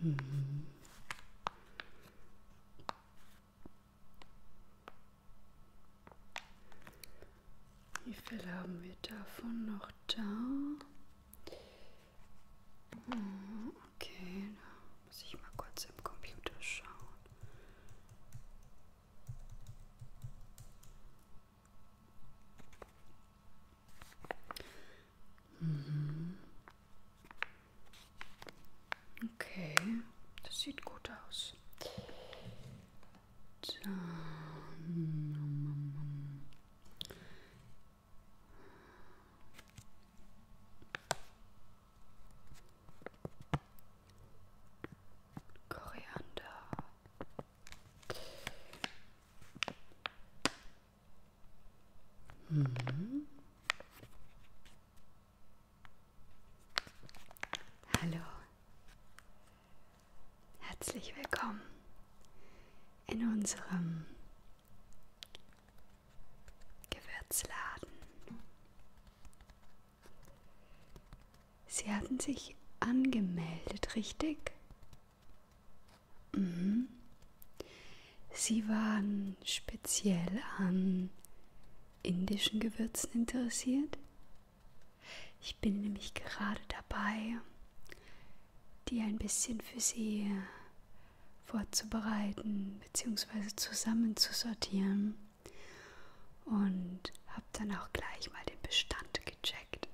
Mhm. Wie viel haben wir davon noch da? Mhm. Okay, da muss ich mal kurz im Computer schauen. Mhm. Okay, das sieht gut aus. Dann Koriander. Mhm. Hallo. Herzlich willkommen in unserem Gewürzladen. Sie hatten sich angemeldet, richtig? Mhm. Sie waren speziell an indischen Gewürzen interessiert. Ich bin nämlich gerade dabei, die ein bisschen für Sie vorzubereiten bzw. zusammen zu sortieren und habe dann auch gleich mal den Bestand gecheckt.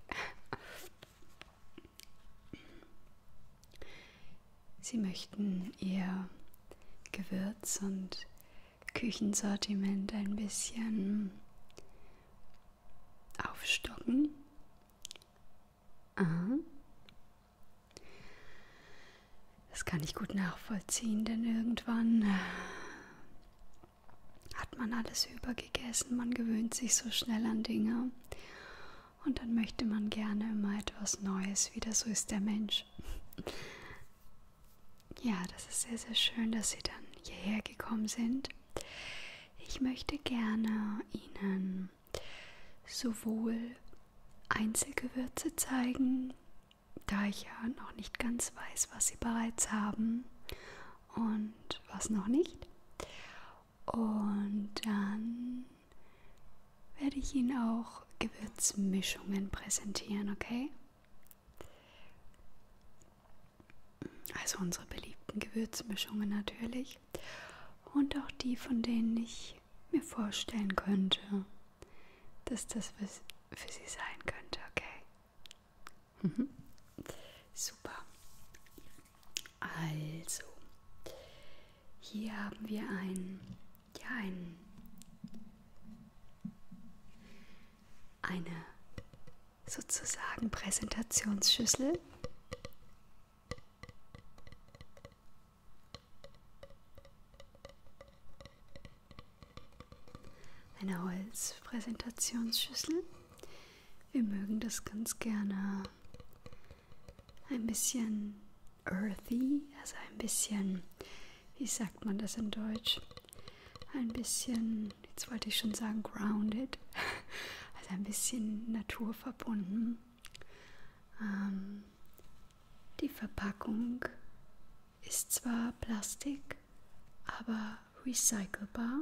Sie möchten ihr Gewürz und Küchensortiment ein bisschen aufstocken. Aha. Das kann ich gut nachvollziehen, denn irgendwann äh, hat man alles übergegessen, man gewöhnt sich so schnell an Dinge und dann möchte man gerne immer etwas Neues wieder, so ist der Mensch. Ja, das ist sehr, sehr schön, dass Sie dann hierher gekommen sind. Ich möchte gerne Ihnen sowohl Einzelgewürze zeigen, da ich ja noch nicht ganz weiß, was sie bereits haben und was noch nicht. Und dann werde ich Ihnen auch Gewürzmischungen präsentieren, okay? Also unsere beliebten Gewürzmischungen natürlich. Und auch die, von denen ich mir vorstellen könnte, dass das was für sie sein könnte, okay? Mhm. Super. Also, hier haben wir ein, ja, ein, eine sozusagen Präsentationsschüssel. Eine Holzpräsentationsschüssel. Wir mögen das ganz gerne ein bisschen earthy, also ein bisschen, wie sagt man das in Deutsch? Ein bisschen, jetzt wollte ich schon sagen, grounded, also ein bisschen naturverbunden. Ähm, die Verpackung ist zwar Plastik, aber recycelbar.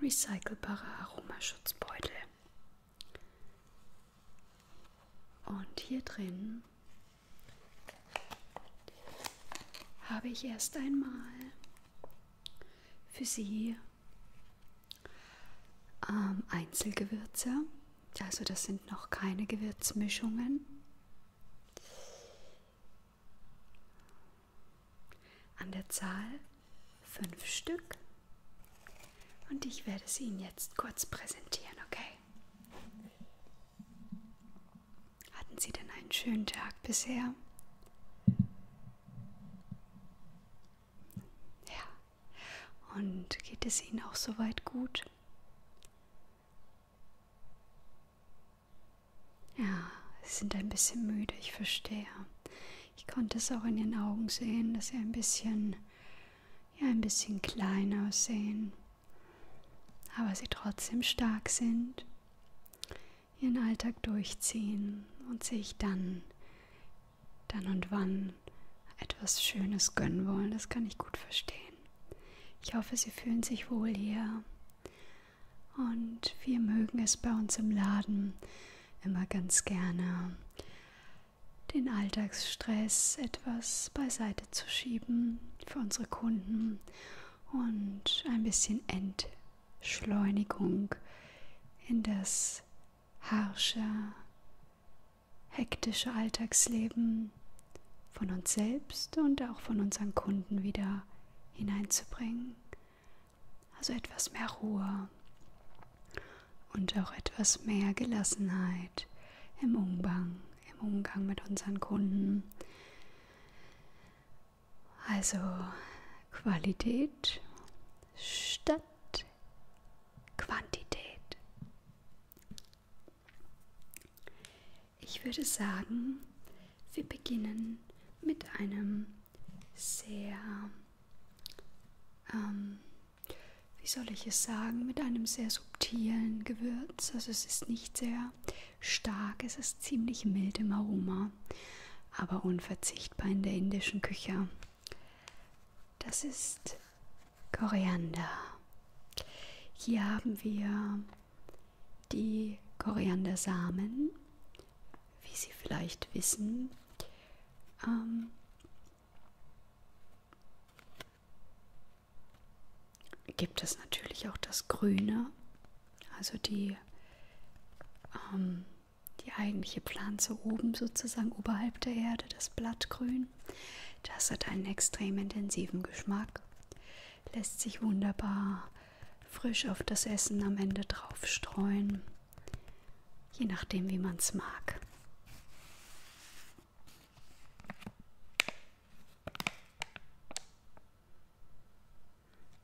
Recycelbare Aromaschutzbeutel. Und hier drin habe ich erst einmal für Sie ähm, Einzelgewürze, also das sind noch keine Gewürzmischungen. An der Zahl fünf Stück. Und ich werde sie Ihnen jetzt kurz präsentieren, okay? Hatten Sie denn einen schönen Tag bisher? Ja, und geht es Ihnen auch soweit gut? Ja, Sie sind ein bisschen müde, ich verstehe. Ich konnte es auch in den Augen sehen, dass Sie ein bisschen, ja, ein bisschen klein aussehen. Aber Sie trotzdem stark sind, Ihren Alltag durchziehen und sich dann dann und wann etwas Schönes gönnen wollen. Das kann ich gut verstehen. Ich hoffe, Sie fühlen sich wohl hier. Und wir mögen es bei uns im Laden immer ganz gerne, den Alltagsstress etwas beiseite zu schieben für unsere Kunden und ein bisschen Entschleunigung in das harsche, hektische Alltagsleben von uns selbst und auch von unseren Kunden wieder hineinzubringen. Also etwas mehr Ruhe und auch etwas mehr Gelassenheit im Umgang, im Umgang mit unseren Kunden. Also Qualität statt Qualität, Quantität. Ich würde sagen, wir beginnen mit einem sehr, ähm, wie soll ich es sagen, mit einem sehr subtilen Gewürz. Also es ist nicht sehr stark, es ist ziemlich mild im Aroma, aber unverzichtbar in der indischen Küche. Das ist Koriander. Hier haben wir die Koriandersamen, wie Sie vielleicht wissen. Ähm, gibt es natürlich auch das Grüne, also die ähm, die eigentliche Pflanze oben sozusagen oberhalb der Erde, das Blattgrün. Das hat einen extrem intensiven Geschmack, lässt sich wunderbar frisch auf das Essen am Ende drauf streuen, je nachdem wie man es mag.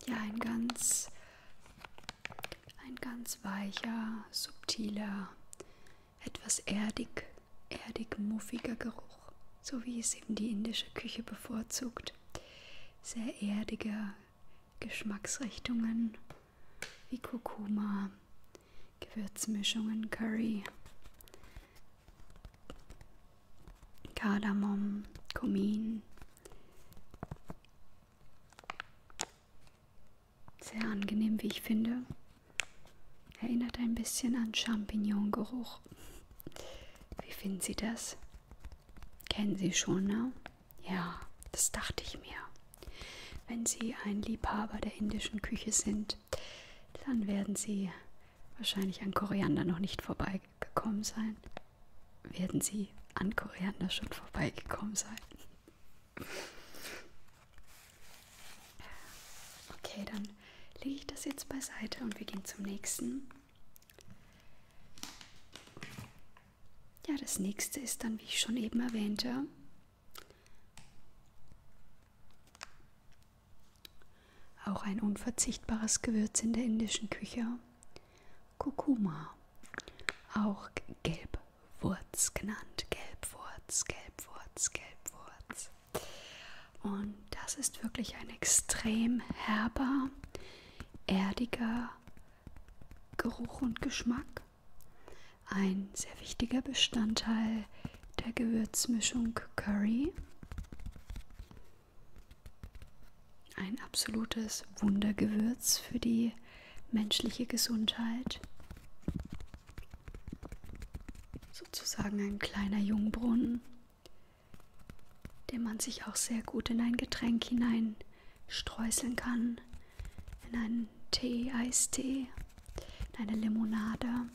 Ja, ein ganz ein ganz weicher, subtiler, etwas erdig, erdig muffiger Geruch, so wie es eben die indische Küche bevorzugt. Sehr erdige Geschmacksrichtungen wie Kurkuma, Gewürzmischungen, Curry, Kardamom, Kumin. Sehr angenehm, wie ich finde. Erinnert ein bisschen an Champignon-Geruch. Wie finden Sie das? Kennen Sie schon, ne? Ja, das dachte ich mir. Wenn Sie ein Liebhaber der indischen Küche sind, dann werden Sie wahrscheinlich an Koriander noch nicht vorbeigekommen sein. Werden Sie an Koriander schon vorbeigekommen sein? Okay, dann lege ich das jetzt beiseite und wir gehen zum nächsten. Ja, das nächste ist dann, wie ich schon eben erwähnte, auch ein unverzichtbares Gewürz in der indischen Küche, Kurkuma, auch gelb Wurz genannt. Gelbwurz, Gelbwurz, Gelbwurz. Und das ist wirklich ein extrem herber, erdiger Geruch und Geschmack. Ein sehr wichtiger Bestandteil der Gewürzmischung Curry. Ein absolutes Wundergewürz für die menschliche Gesundheit. Sozusagen ein kleiner Jungbrunnen, den man sich auch sehr gut in ein Getränk hinein streuseln kann, in einen Tee, Eistee, in eine Limonade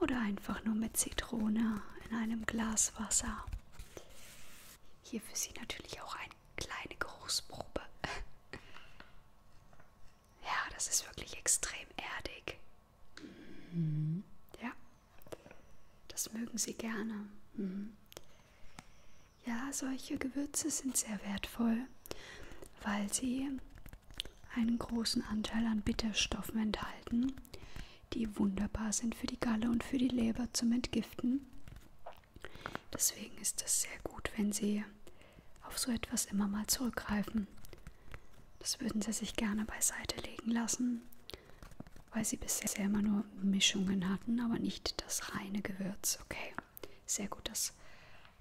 oder einfach nur mit Zitrone in einem Glas Wasser. Hier für Sie natürlich auch ein kleine Geruchsprobe. ja, das ist wirklich extrem erdig. Mhm. Ja, das mögen sie gerne. Mhm. Ja, solche Gewürze sind sehr wertvoll, weil sie einen großen Anteil an Bitterstoffen enthalten, die wunderbar sind für die Galle und für die Leber zum Entgiften. Deswegen ist es sehr gut, wenn Sie auf so etwas immer mal zurückgreifen. Das würden Sie sich gerne beiseite legen lassen, weil Sie bisher immer nur Mischungen hatten, aber nicht das reine Gewürz. Okay, sehr gut, das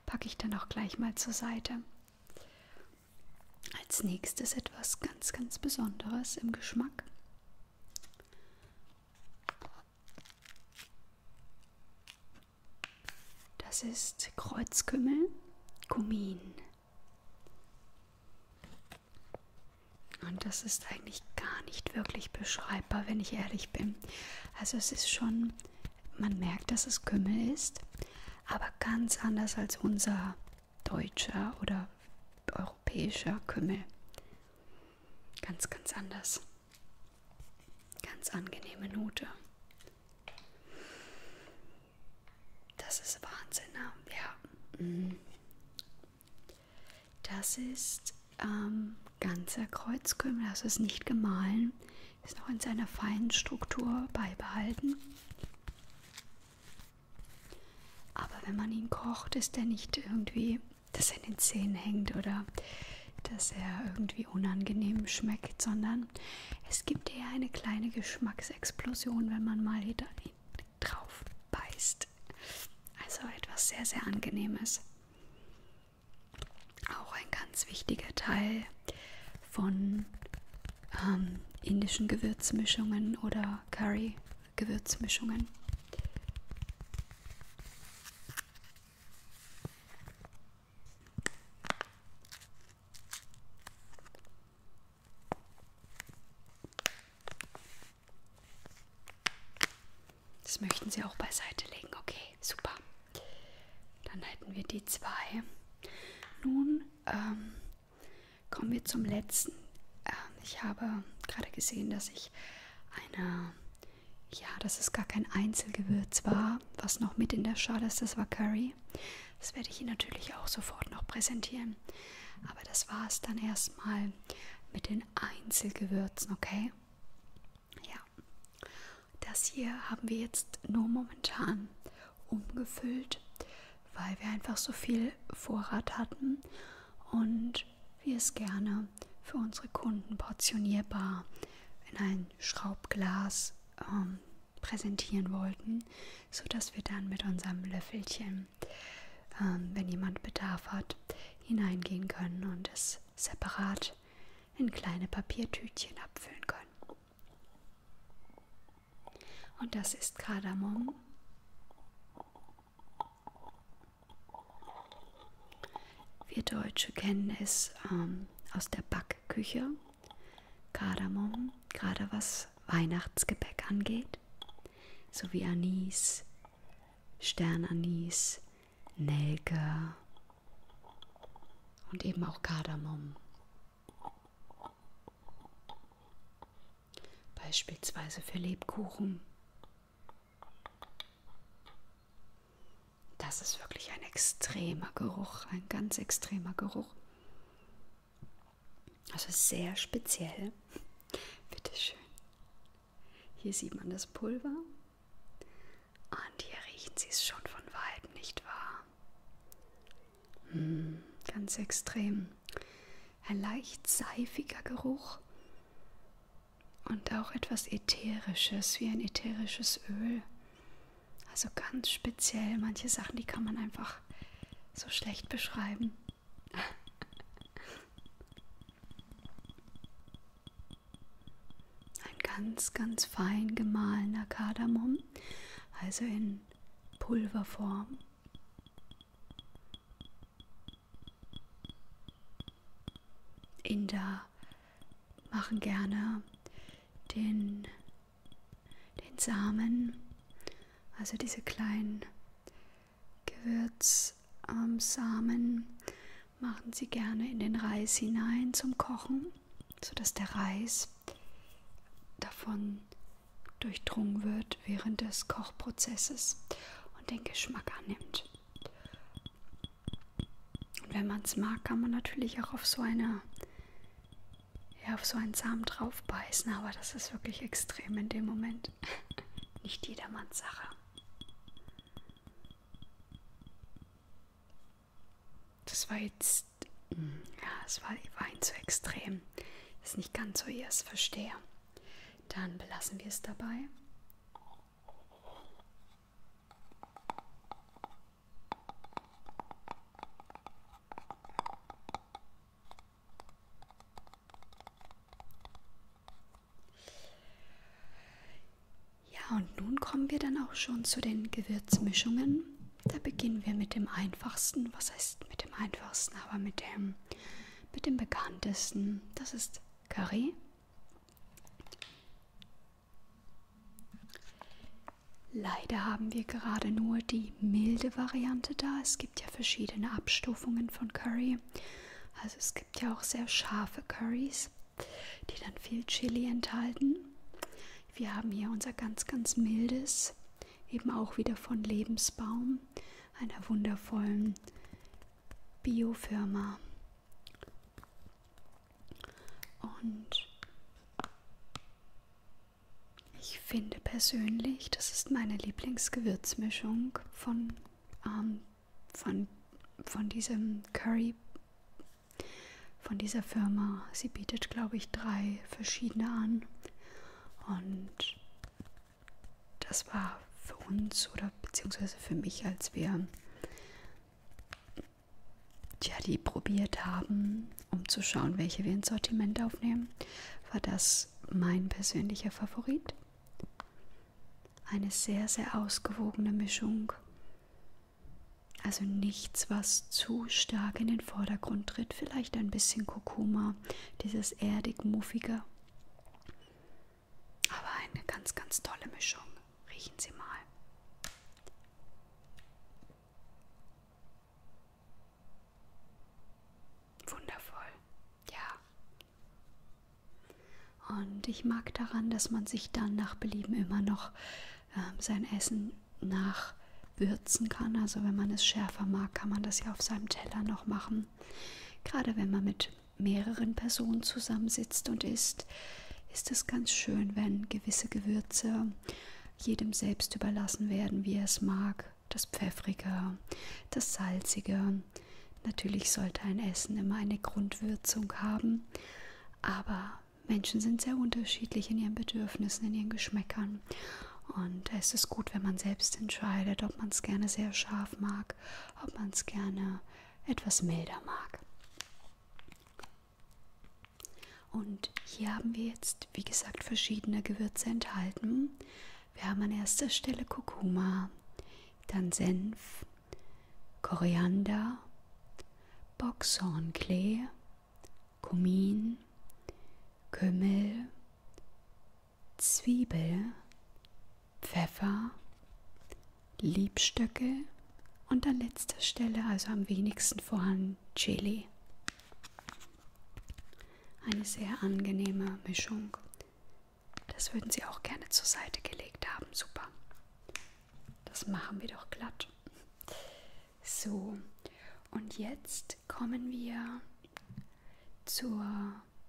packe ich dann auch gleich mal zur Seite. Als nächstes etwas ganz, ganz Besonderes im Geschmack. Das ist Kreuzkümmel, Kumin. Und das ist eigentlich gar nicht wirklich beschreibbar, wenn ich ehrlich bin. Also es ist schon, man merkt, dass es Kümmel ist, aber ganz anders als unser deutscher oder europäischer Kümmel. Ganz, ganz anders. Ganz angenehme Note. Das ist Wahnsinn, ne? ja. Mhm. Das ist ähm, ganzer Kreuzkümmel, das ist nicht gemahlen, ist noch in seiner feinen Struktur beibehalten. Aber wenn man ihn kocht, ist er nicht irgendwie das in den Zähnen hängt oder dass er irgendwie unangenehm schmeckt, sondern es gibt eher eine kleine Geschmacksexplosion, wenn man mal hinter drauf beißt. Also etwas sehr, sehr angenehmes. Auch ein ganz wichtiger Teil von ähm, indischen Gewürzmischungen oder Curry-Gewürzmischungen. Das möchten Sie auch beiseite legen. Okay, super. Dann hätten wir die zwei. Nun ähm, kommen wir zum letzten. Ähm, ich habe gerade gesehen, dass ich eine ja, dass es gar kein Einzelgewürz war, was noch mit in der Schale ist, das war Curry. Das werde ich Ihnen natürlich auch sofort noch präsentieren. Aber das war es dann erstmal mit den Einzelgewürzen, okay? Ja. Das hier haben wir jetzt nur momentan umgefüllt, weil wir einfach so viel Vorrat hatten und wie es gerne für unsere Kunden portionierbar in ein Schraubglas ähm, präsentieren wollten, so dass wir dann mit unserem Löffelchen, ähm, wenn jemand Bedarf hat, hineingehen können und es separat in kleine Papiertütchen abfüllen können. Und das ist Kardamom. Wir Deutsche kennen es ähm, aus der Backküche, Kardamom, gerade was Weihnachtsgebäck angeht, sowie Anis, Sternanis, Nelke und eben auch Kardamom. Beispielsweise für Lebkuchen das ist wirklich ein extremer Geruch, ein ganz extremer Geruch. Also sehr speziell. Bitteschön. Hier sieht man das Pulver. Und hier riechen sie es schon von weitem, nicht wahr? Hm, ganz extrem. Ein leicht seifiger Geruch und auch etwas Ätherisches, wie ein ätherisches Öl. Also ganz speziell, manche Sachen, die kann man einfach so schlecht beschreiben. Ein ganz, ganz fein gemahlener Kardamom, also in Pulverform. Inder machen gerne den, den Samen, also diese kleinen Gewürzsamen, machen sie gerne in den Reis hinein zum Kochen, sodass der Reis davon durchdrungen wird während des Kochprozesses und den Geschmack annimmt. Und wenn man es mag, kann man natürlich auch auf so eine ja, auf so einen Samen drauf beißen, aber das ist wirklich extrem in dem Moment. Nicht jedermanns Sache. Das war jetzt, ja, es war, war ein zu extrem. Das ist nicht ganz so, ihr es verstehe. Dann belassen wir es dabei. Ja, und nun kommen wir dann auch schon zu den Gewürzmischungen. Da beginnen wir mit dem einfachsten. Was heißt mit dem einfachsten? Aber mit dem, mit dem bekanntesten. Das ist Curry, Leider haben wir gerade nur die milde Variante da. Es gibt ja verschiedene Abstufungen von Curry. Also es gibt ja auch sehr scharfe Curries, die dann viel Chili enthalten. Wir haben hier unser ganz, ganz mildes, eben auch wieder von Lebensbaum, einer wundervollen Biofirma. Und ich finde persönlich, das ist meine Lieblingsgewürzmischung von, ähm, von, von diesem Curry, von dieser Firma. Sie bietet, glaube ich, drei verschiedene an. Und das war für uns oder beziehungsweise für mich, als wir ja, die probiert haben, um zu schauen, welche wir ins Sortiment aufnehmen, war das mein persönlicher Favorit. Eine sehr, sehr ausgewogene Mischung. Also nichts, was zu stark in den Vordergrund tritt. Vielleicht ein bisschen Kurkuma, dieses erdig-muffige. Aber eine ganz, ganz tolle Mischung. Riechen Sie mal. Wundervoll, ja. Und ich mag daran, dass man sich dann nach Belieben immer noch äh, sein Essen nachwürzen kann. Also wenn man es schärfer mag, kann man das ja auf seinem Teller noch machen. Gerade wenn man mit mehreren Personen zusammensitzt und isst, ist es ganz schön, wenn gewisse Gewürze jedem selbst überlassen werden, wie er es mag. Das Pfeffrige, das Salzige. Natürlich sollte ein Essen immer eine Grundwürzung haben, aber Menschen sind sehr unterschiedlich in ihren Bedürfnissen, in ihren Geschmäckern. Und es ist gut, wenn man selbst entscheidet, ob man es gerne sehr scharf mag, ob man es gerne etwas milder mag. Und hier haben wir jetzt, wie gesagt, verschiedene Gewürze enthalten. Wir haben an erster Stelle Kurkuma, dann Senf, Koriander, Boxhornklee, Kumin, Kümmel, Zwiebel, Pfeffer, Liebstöcke und an letzter Stelle, also am wenigsten vorhanden, Chili. Eine sehr angenehme Mischung. Das würden Sie auch gerne zur Seite gelegt haben. Super. Das machen wir doch glatt. So, und jetzt kommen wir zur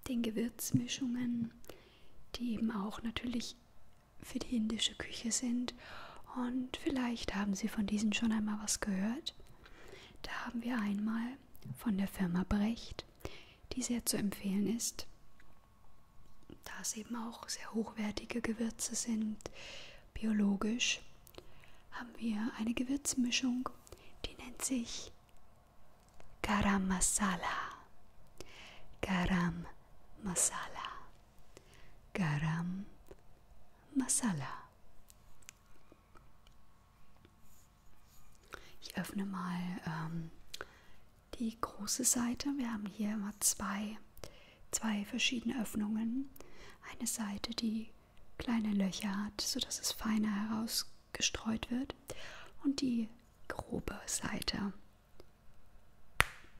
den Gewürzmischungen, die eben auch natürlich für die indische Küche sind. Und vielleicht haben Sie von diesen schon einmal was gehört. Da haben wir einmal von der Firma Brecht, die sehr zu empfehlen ist, da es eben auch sehr hochwertige Gewürze sind, biologisch, haben wir eine Gewürzmischung, die nennt sich Garam Masala. Garam Masala. Garam Masala. Ich öffne mal ähm, die große Seite. Wir haben hier immer zwei, zwei verschiedene Öffnungen. Eine Seite, die kleine Löcher hat, sodass es feiner herausgestreut wird. Und die grobe Seite,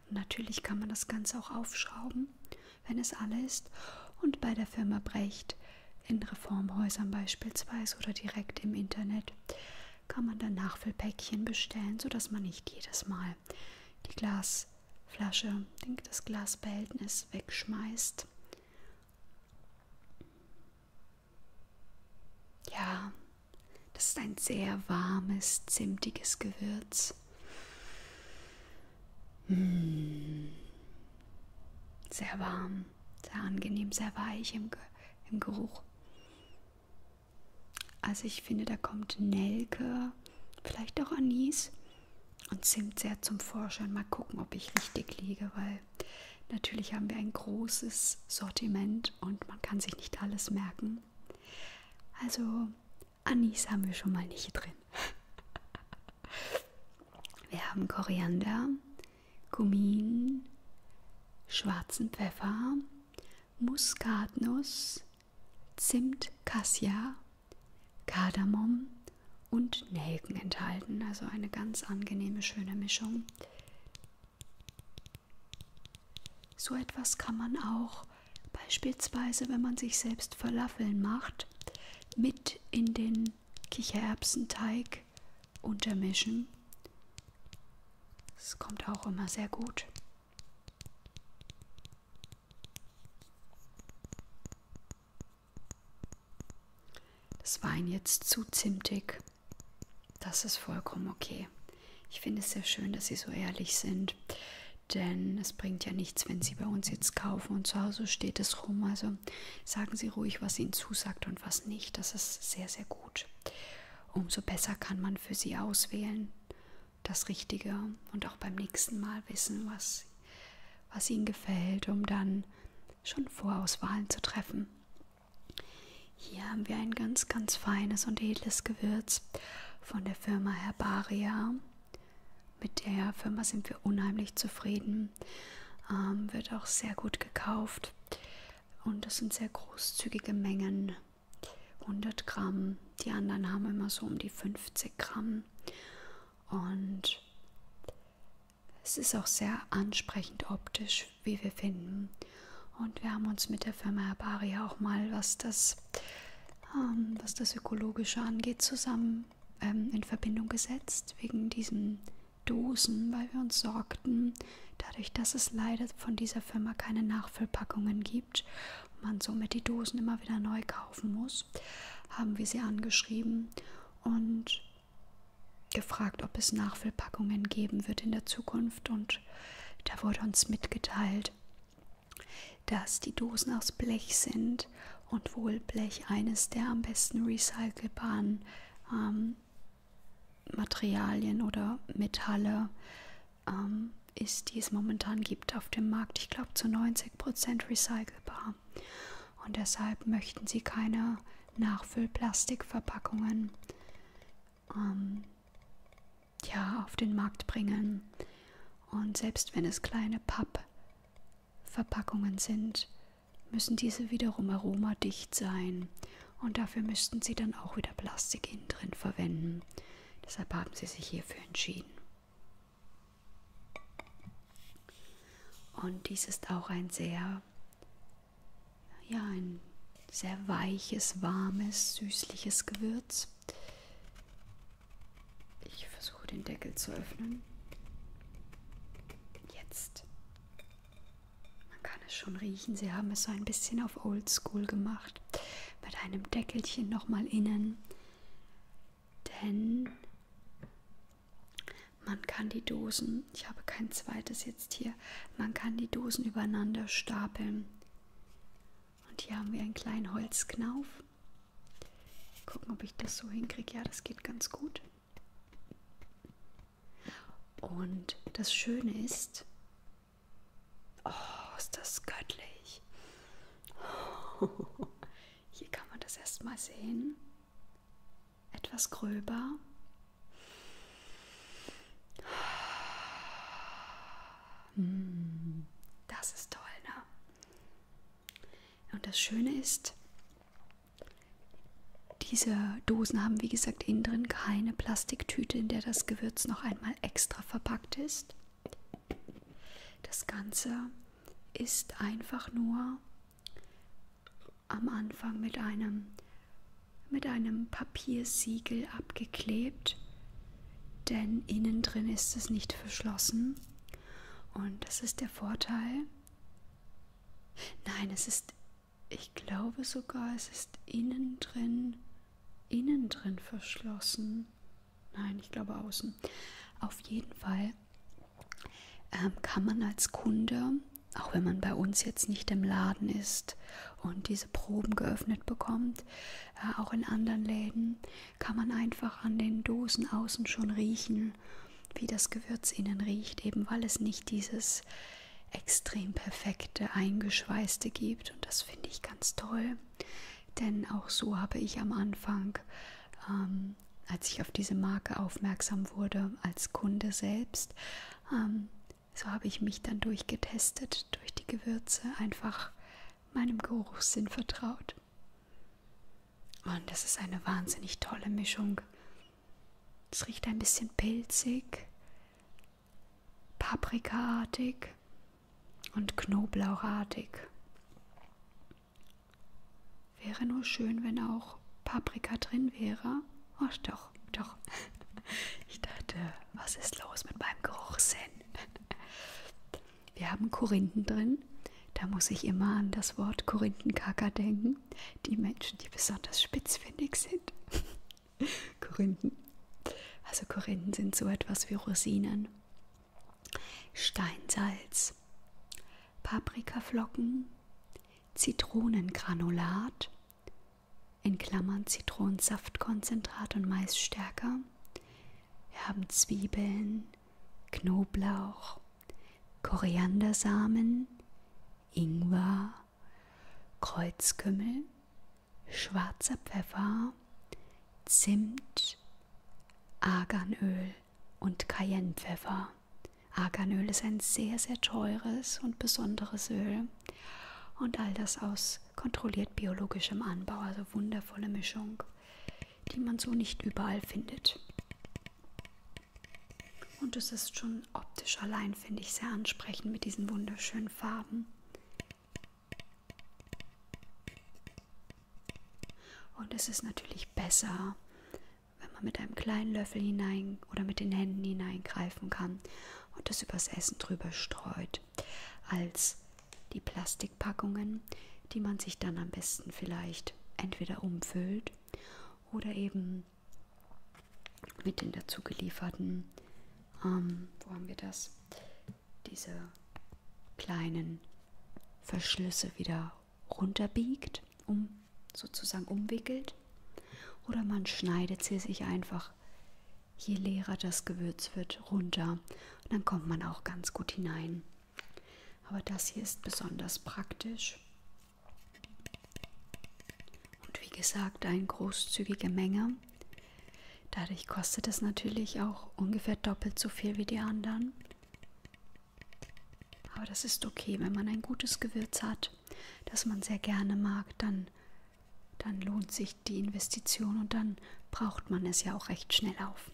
Natürlich kann man das Ganze auch aufschrauben, wenn es alle ist, und bei der Firma Brecht in Reformhäusern beispielsweise oder direkt im Internet kann man dann Nachfüllpäckchen bestellen, sodass man nicht jedes Mal die Glasflasche, das Glasbehältnis wegschmeißt. Ja, das ist ein sehr warmes, zimtiges Gewürz. Mmh. Sehr warm, sehr angenehm, sehr weich im, Ge im Geruch. Also ich finde, da kommt Nelke, vielleicht auch Anis und Zimt sehr zum Vorschein. Mal gucken, ob ich richtig liege, weil Natürlich haben wir ein großes Sortiment und man kann sich nicht alles merken. Also Anis haben wir schon mal nicht drin. Wir haben Koriander, Kumin, schwarzen Pfeffer, Muskatnuss, Zimt, Cassia, Kardamom und Nelken enthalten. Also eine ganz angenehme, schöne Mischung. So etwas kann man auch beispielsweise, wenn man sich selbst Falafeln macht, mit in den Kichererbsenteig untermischen. Das kommt auch immer sehr gut. Das Wein jetzt zu zimtig. Das ist vollkommen okay. Ich finde es sehr schön, dass Sie so ehrlich sind, denn es bringt ja nichts, wenn Sie bei uns jetzt kaufen und zu Hause steht es rum. Also sagen Sie ruhig, was Ihnen zusagt und was nicht. Das ist sehr, sehr gut. Umso besser kann man für Sie auswählen das Richtige und auch beim nächsten Mal wissen, was, was Ihnen gefällt, um dann schon Vorauswahlen zu treffen. Hier haben wir ein ganz, ganz feines und edles Gewürz von der Firma Herbaria. Mit der Firma sind wir unheimlich zufrieden. Ähm, wird auch sehr gut gekauft. Und das sind sehr großzügige Mengen. 100 Gramm. Die anderen haben immer so um die 50 Gramm. Und es ist auch sehr ansprechend optisch, gut, wie wir finden. Und wir haben uns mit der Firma Herbaria auch mal, was das, ähm, was das Ökologische angeht, zusammen ähm, in Verbindung gesetzt, wegen diesen Dosen, weil wir uns sorgten, dadurch, dass es leider von dieser Firma keine Nachfüllpackungen gibt und man somit die Dosen immer wieder neu kaufen muss, haben wir sie angeschrieben und gefragt, ob es Nachfüllpackungen geben wird in der Zukunft und da wurde uns mitgeteilt, dass die Dosen aus Blech sind und wohl Blech eines der am besten recycelbaren ähm, Materialien oder Metalle ähm, ist, die es momentan gibt auf dem Markt. Ich glaube zu 90% recycelbar. Und deshalb möchten sie keine Nachfüllplastikverpackungen ähm, ja, auf den Markt bringen. Und selbst wenn es kleine Pappverpackungen sind, müssen diese wiederum aromadicht sein. Und dafür müssten sie dann auch wieder Plastik innen drin verwenden. Deshalb haben sie sich hierfür entschieden. Und dies ist auch ein sehr ja, ein sehr weiches, warmes, süßliches Gewürz. Ich versuche den Deckel zu öffnen. Jetzt. Man kann es schon riechen. Sie haben es so ein bisschen auf Oldschool gemacht. Mit einem Deckelchen nochmal innen. Denn man kann die Dosen, ich habe kein zweites hier sitzt hier. Man kann die Dosen übereinander stapeln. Und hier haben wir einen kleinen Holzknauf. Gucken, ob ich das so hinkriege. Ja, das geht ganz gut. Und das Schöne ist, oh, ist das göttlich. Oh, hier kann man das erstmal sehen. Etwas gröber hm, das ist toll, ne? Und das Schöne ist, diese Dosen haben, wie gesagt, innen drin keine Plastiktüte, in der das Gewürz noch einmal extra verpackt ist. Das Ganze ist einfach nur am Anfang mit einem mit einem Papiersiegel abgeklebt, denn innen drin ist es nicht verschlossen. Und das ist der Vorteil. Nein, es ist, ich glaube sogar, es ist innen drin, innen drin verschlossen. Nein, ich glaube außen. Auf jeden Fall ähm, kann man als Kunde auch wenn man bei uns jetzt nicht im Laden ist und diese Proben geöffnet bekommt, äh, auch in anderen Läden kann man einfach an den Dosen außen schon riechen, wie das Gewürz innen riecht, eben weil es nicht dieses extrem perfekte eingeschweißte gibt und das finde ich ganz toll, denn auch so habe ich am Anfang, ähm, als ich auf diese Marke aufmerksam wurde, als Kunde selbst, ähm, so habe ich mich dann durchgetestet, durch die Gewürze, einfach meinem Geruchssinn vertraut. Und das ist eine wahnsinnig tolle Mischung. Es riecht ein bisschen pilzig, paprikaartig und knoblauchartig. Wäre nur schön, wenn auch Paprika drin wäre. Oh, doch, doch. Ich dachte, was ist los mit meinem Geruchssinn? Wir haben Korinthen drin. Da muss ich immer an das Wort Korinthenkacker denken. Die Menschen, die besonders spitzfindig sind. Korinthen. Also Korinthen sind so etwas wie Rosinen. Steinsalz, Paprikaflocken, Zitronengranulat, in Klammern Zitronensaftkonzentrat und Maisstärke. Wir haben Zwiebeln, Knoblauch, Koriandersamen, Ingwer, Kreuzkümmel, schwarzer Pfeffer, Zimt, Arganöl und Cayennepfeffer. Arganöl ist ein sehr, sehr teures und besonderes Öl. Und all das aus kontrolliert biologischem Anbau, also wundervolle Mischung, die man so nicht überall findet. Und es ist schon optisch allein, finde ich, sehr ansprechend mit diesen wunderschönen Farben. Und es ist natürlich besser, wenn man mit einem kleinen Löffel hinein oder mit den Händen hineingreifen kann und das übers Essen drüber streut, als die Plastikpackungen, die man sich dann am besten vielleicht entweder umfüllt oder eben mit den dazu gelieferten, ähm, wo haben wir das, diese kleinen Verschlüsse wieder runterbiegt, um sozusagen umwickelt oder man schneidet sie sich einfach, je leerer das Gewürz wird, runter. Und dann kommt man auch ganz gut hinein. Aber das hier ist besonders praktisch. Und wie gesagt, eine großzügige Menge. Dadurch kostet es natürlich auch ungefähr doppelt so viel wie die anderen. Aber das ist okay, wenn man ein gutes Gewürz hat das man sehr gerne mag, dann, dann lohnt sich die Investition und dann braucht man es ja auch recht schnell auf.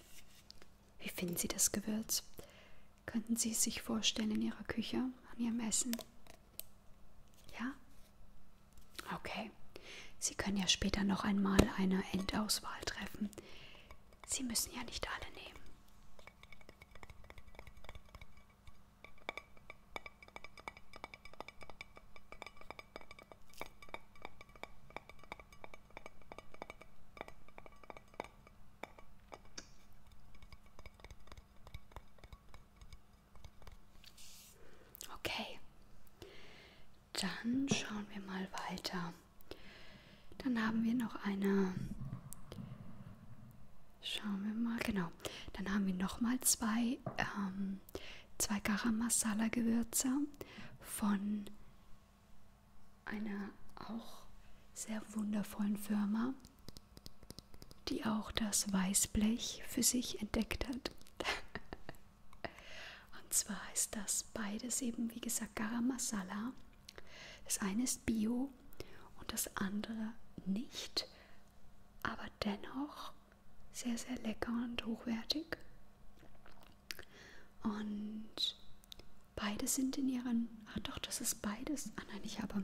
Wie finden Sie das Gewürz? Könnten Sie es sich vorstellen in Ihrer Küche, an Ihrem Essen? Ja? Okay. Sie können ja später noch einmal eine Endauswahl treffen. Sie müssen ja nicht alle nehmen. Okay, dann schauen wir mal weiter. Dann haben wir noch eine Schauen wir mal, genau. Dann haben wir nochmal zwei, ähm, zwei Garam Masala Gewürze von einer auch sehr wundervollen Firma, die auch das Weißblech für sich entdeckt hat. Und zwar ist das beides eben, wie gesagt, Garam Masala. Das eine ist Bio und das andere nicht aber dennoch sehr, sehr lecker und hochwertig. Und beide sind in ihren. Ach doch, das ist beides. Ah nein, ich habe.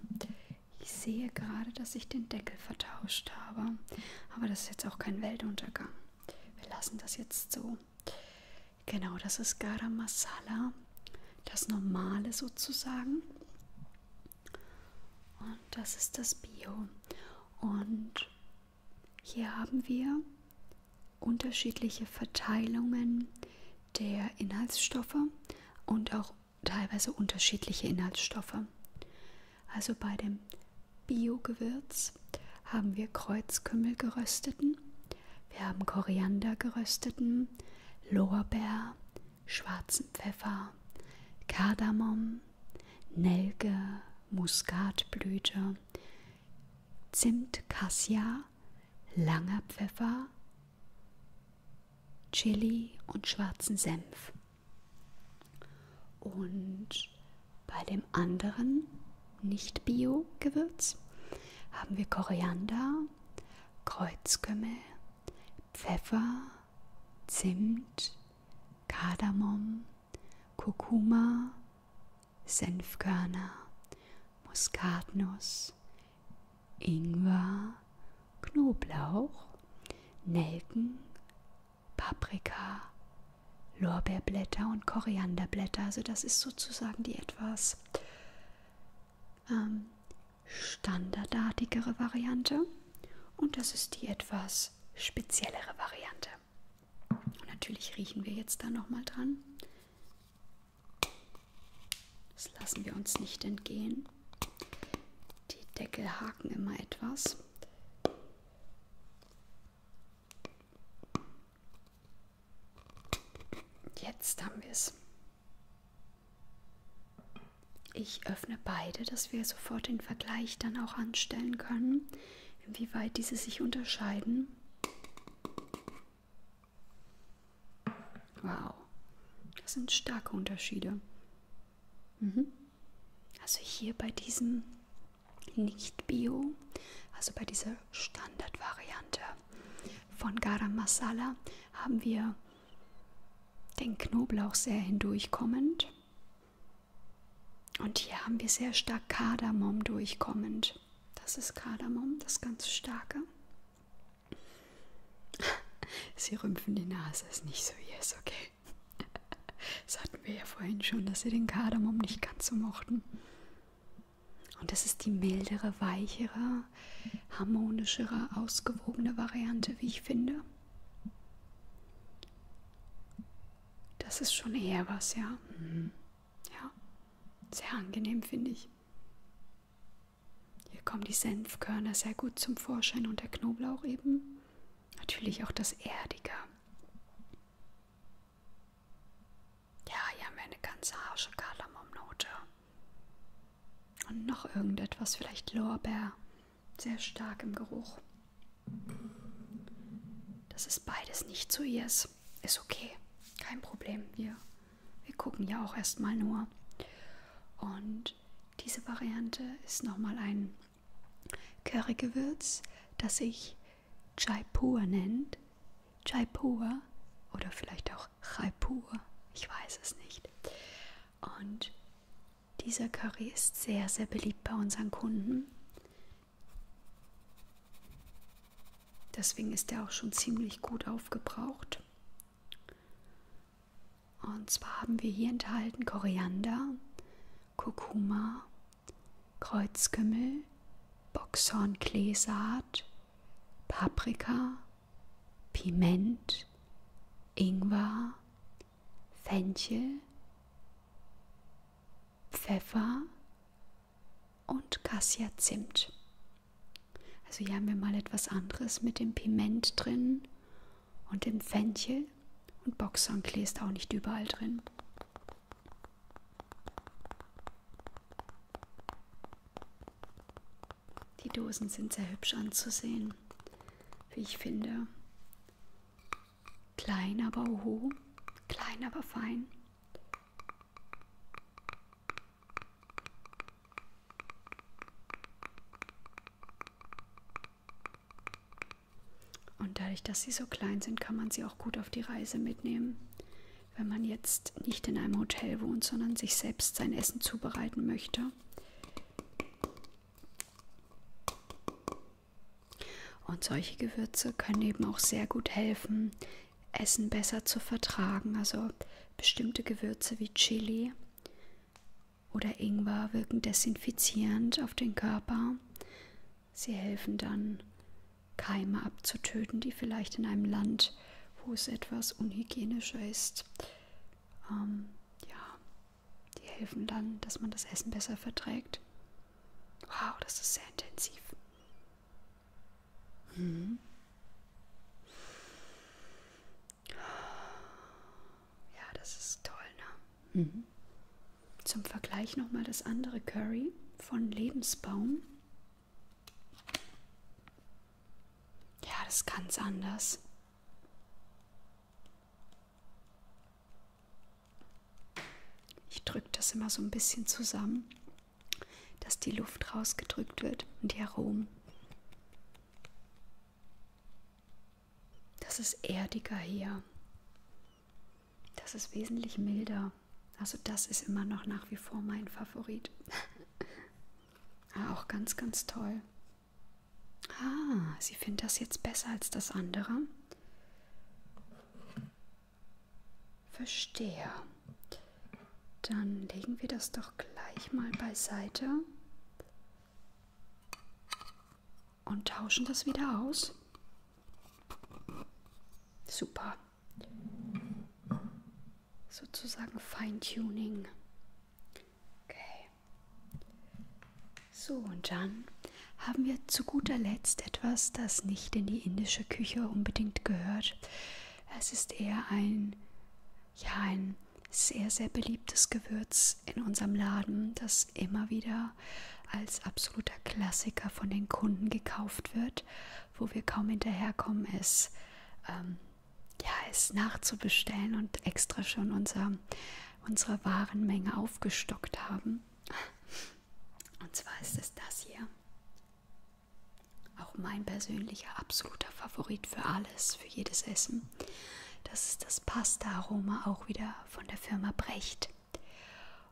Ich sehe gerade, dass ich den Deckel vertauscht habe. Aber das ist jetzt auch kein Weltuntergang. Wir lassen das jetzt so. Genau, das ist Garam Masala. Das normale sozusagen. Und das ist das Bio. Und hier haben wir unterschiedliche Verteilungen der Inhaltsstoffe und auch teilweise unterschiedliche Inhaltsstoffe. Also bei dem Bio-Gewürz haben wir Kreuzkümmel gerösteten, wir haben Koriander gerösteten, Lorbeer, schwarzen Pfeffer, Kardamom, Nelke, Muskatblüte, Zimt, Cassia, langer Pfeffer, Chili und schwarzen Senf. Und bei dem anderen Nicht-Bio-Gewürz haben wir Koriander, Kreuzkümmel, Pfeffer, Zimt, Kardamom, Kurkuma, Senfkörner, Muskatnuss, Ingwer, Knoblauch, Nelken, Paprika, Lorbeerblätter und Korianderblätter. Also das ist sozusagen die etwas ähm, standardartigere Variante und das ist die etwas speziellere Variante. Und natürlich riechen wir jetzt da nochmal dran. Das lassen wir uns nicht entgehen. Die Deckel haken immer etwas. Jetzt haben wir es. Ich öffne beide, dass wir sofort den Vergleich dann auch anstellen können, inwieweit diese sich unterscheiden. Wow, das sind starke Unterschiede. Mhm. Also hier bei diesem Nicht-Bio, also bei dieser Standardvariante von Garam Masala, haben wir den Knoblauch sehr hindurchkommend. Und hier haben wir sehr stark Kardamom durchkommend. Das ist Kardamom, das ganz starke. Sie rümpfen die Nase, ist nicht so yes, okay. Das hatten wir ja vorhin schon, dass sie den Kardamom nicht ganz so mochten. Und das ist die mildere, weichere, harmonischere, ausgewogene Variante, wie ich finde. Das ist schon eher was, ja. Mhm. Ja, sehr angenehm finde ich. Hier kommen die Senfkörner sehr gut zum Vorschein und der Knoblauch eben. Natürlich auch das Erdige. Ja, hier haben wir eine ganze harsche Kardamomnote. Und noch irgendetwas, vielleicht Lorbeer sehr stark im Geruch. Das ist beides nicht zu ihr. Ist, ist okay. Kein Problem. Wir, wir gucken ja auch erstmal nur. Und diese Variante ist nochmal ein Currygewürz, das sich Jaipur nennt. Jaipur oder vielleicht auch Jaipur. Ich weiß es nicht. Und dieser Curry ist sehr, sehr beliebt bei unseren Kunden. Deswegen ist er auch schon ziemlich gut aufgebraucht. Und zwar haben wir hier enthalten Koriander, Kurkuma, Kreuzkümmel, Boxhorngleesaat, Paprika, Piment, Ingwer, Fenchel, Pfeffer und Cassia-Zimt. Also hier haben wir mal etwas anderes mit dem Piment drin und dem Fenchel und Boxhornklee ist auch nicht überall drin. Die Dosen sind sehr hübsch anzusehen, wie ich finde. Klein, aber oho, klein, aber fein. Und dadurch, dass sie so klein sind, kann man sie auch gut auf die Reise mitnehmen. Wenn man jetzt nicht in einem Hotel wohnt, sondern sich selbst sein Essen zubereiten möchte, und solche Gewürze können eben auch sehr gut helfen, Essen besser zu vertragen. Also bestimmte Gewürze wie Chili oder Ingwer wirken desinfizierend auf den Körper. Sie helfen dann, Keime abzutöten, die vielleicht in einem Land, wo es etwas unhygienischer ist, ähm, ja, die helfen dann, dass man das Essen besser verträgt. Wow, das ist sehr intensiv. Mhm. Ja, das ist toll, ne? Mhm. Zum Vergleich nochmal das andere Curry von Lebensbaum. Ja, das ist ganz anders. Ich drücke das immer so ein bisschen zusammen, dass die Luft rausgedrückt wird und die Aromen. Das ist erdiger hier. Das ist wesentlich milder. Also das ist immer noch nach wie vor mein Favorit. Auch ganz, ganz toll. Ah, Sie finden das jetzt besser als das andere? Verstehe. Dann legen wir das doch gleich mal beiseite und tauschen das wieder aus. Super. Sozusagen Feintuning. Okay. So, und dann haben wir zu guter Letzt etwas, das nicht in die indische Küche unbedingt gehört. Es ist eher ein, ja, ein sehr, sehr beliebtes Gewürz in unserem Laden, das immer wieder als absoluter Klassiker von den Kunden gekauft wird, wo wir kaum hinterherkommen, es ähm, ja, es nachzubestellen und extra schon unser, unsere Warenmenge aufgestockt haben. Und zwar ist es das hier. Auch mein persönlicher absoluter Favorit für alles, für jedes Essen. Das ist das Pasta-Aroma, auch wieder von der Firma Brecht.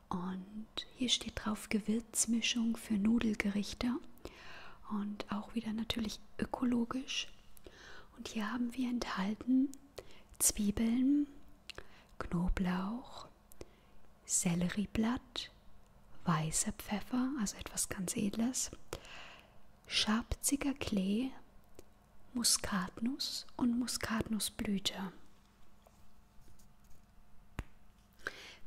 Und hier steht drauf Gewürzmischung für Nudelgerichte. Und auch wieder natürlich ökologisch. Und hier haben wir enthalten Zwiebeln, Knoblauch, Sellerieblatt, weißer Pfeffer, also etwas ganz Edles, scharpziger Klee, Muskatnuss und Muskatnussblüte.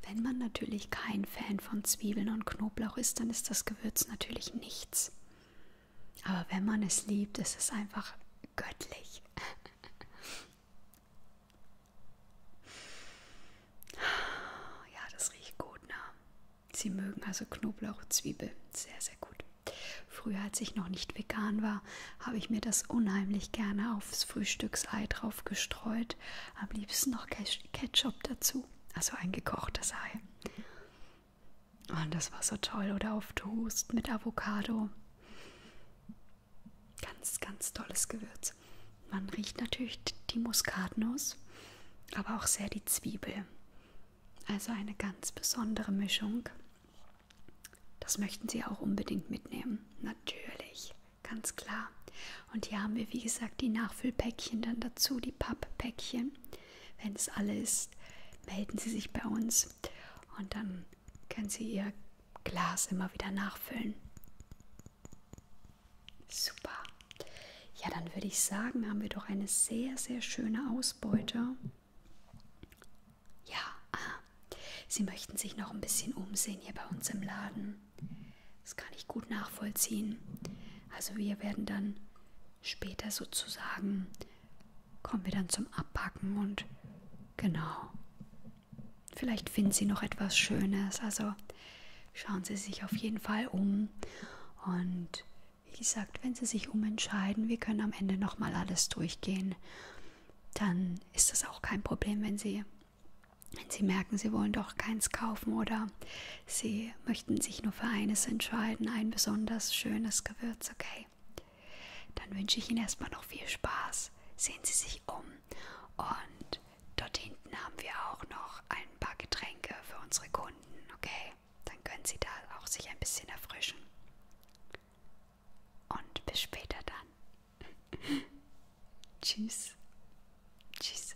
Wenn man natürlich kein Fan von Zwiebeln und Knoblauch ist, dann ist das Gewürz natürlich nichts. Aber wenn man es liebt, ist es einfach göttlich. Ja, das riecht gut, ne? Sie mögen also Knoblauch, Zwiebel. Sehr, sehr gut. Früher, als ich noch nicht vegan war, habe ich mir das unheimlich gerne aufs Frühstücksei drauf gestreut. Am liebsten noch Ketchup dazu. Also ein gekochtes Ei. Und ah, das war so toll. Oder auf Toast mit Avocado. Ganz, ganz tolles Gewürz. Man riecht natürlich die Muskatnuss, aber auch sehr die Zwiebel. Also eine ganz besondere Mischung. Das möchten Sie auch unbedingt mitnehmen. Natürlich, ganz klar. Und hier haben wir, wie gesagt, die Nachfüllpäckchen dann dazu, die Papppäckchen. Wenn es alle ist, melden Sie sich bei uns und dann können Sie Ihr Glas immer wieder nachfüllen. Super. Ja, dann würde ich sagen, haben wir doch eine sehr, sehr schöne Ausbeute. Ja, ah, Sie möchten sich noch ein bisschen umsehen hier bei uns im Laden. Das kann ich gut nachvollziehen. Also wir werden dann später sozusagen, kommen wir dann zum Abpacken und genau. Vielleicht finden Sie noch etwas Schönes. Also schauen Sie sich auf jeden Fall um. Und wie gesagt, wenn Sie sich umentscheiden, wir können am Ende nochmal alles durchgehen. Dann ist das auch kein Problem, wenn Sie, wenn Sie merken, Sie wollen doch keins kaufen oder Sie möchten sich nur für eines entscheiden, ein besonders schönes Gewürz, okay? Dann wünsche ich Ihnen erstmal noch viel Spaß. Sehen Sie sich um. Und dort hinten haben wir auch noch ein paar Getränke für unsere Kunden, okay? Dann können Sie da auch sich ein bisschen erfrischen. Und bis später dann. Tschüss. Tschüss.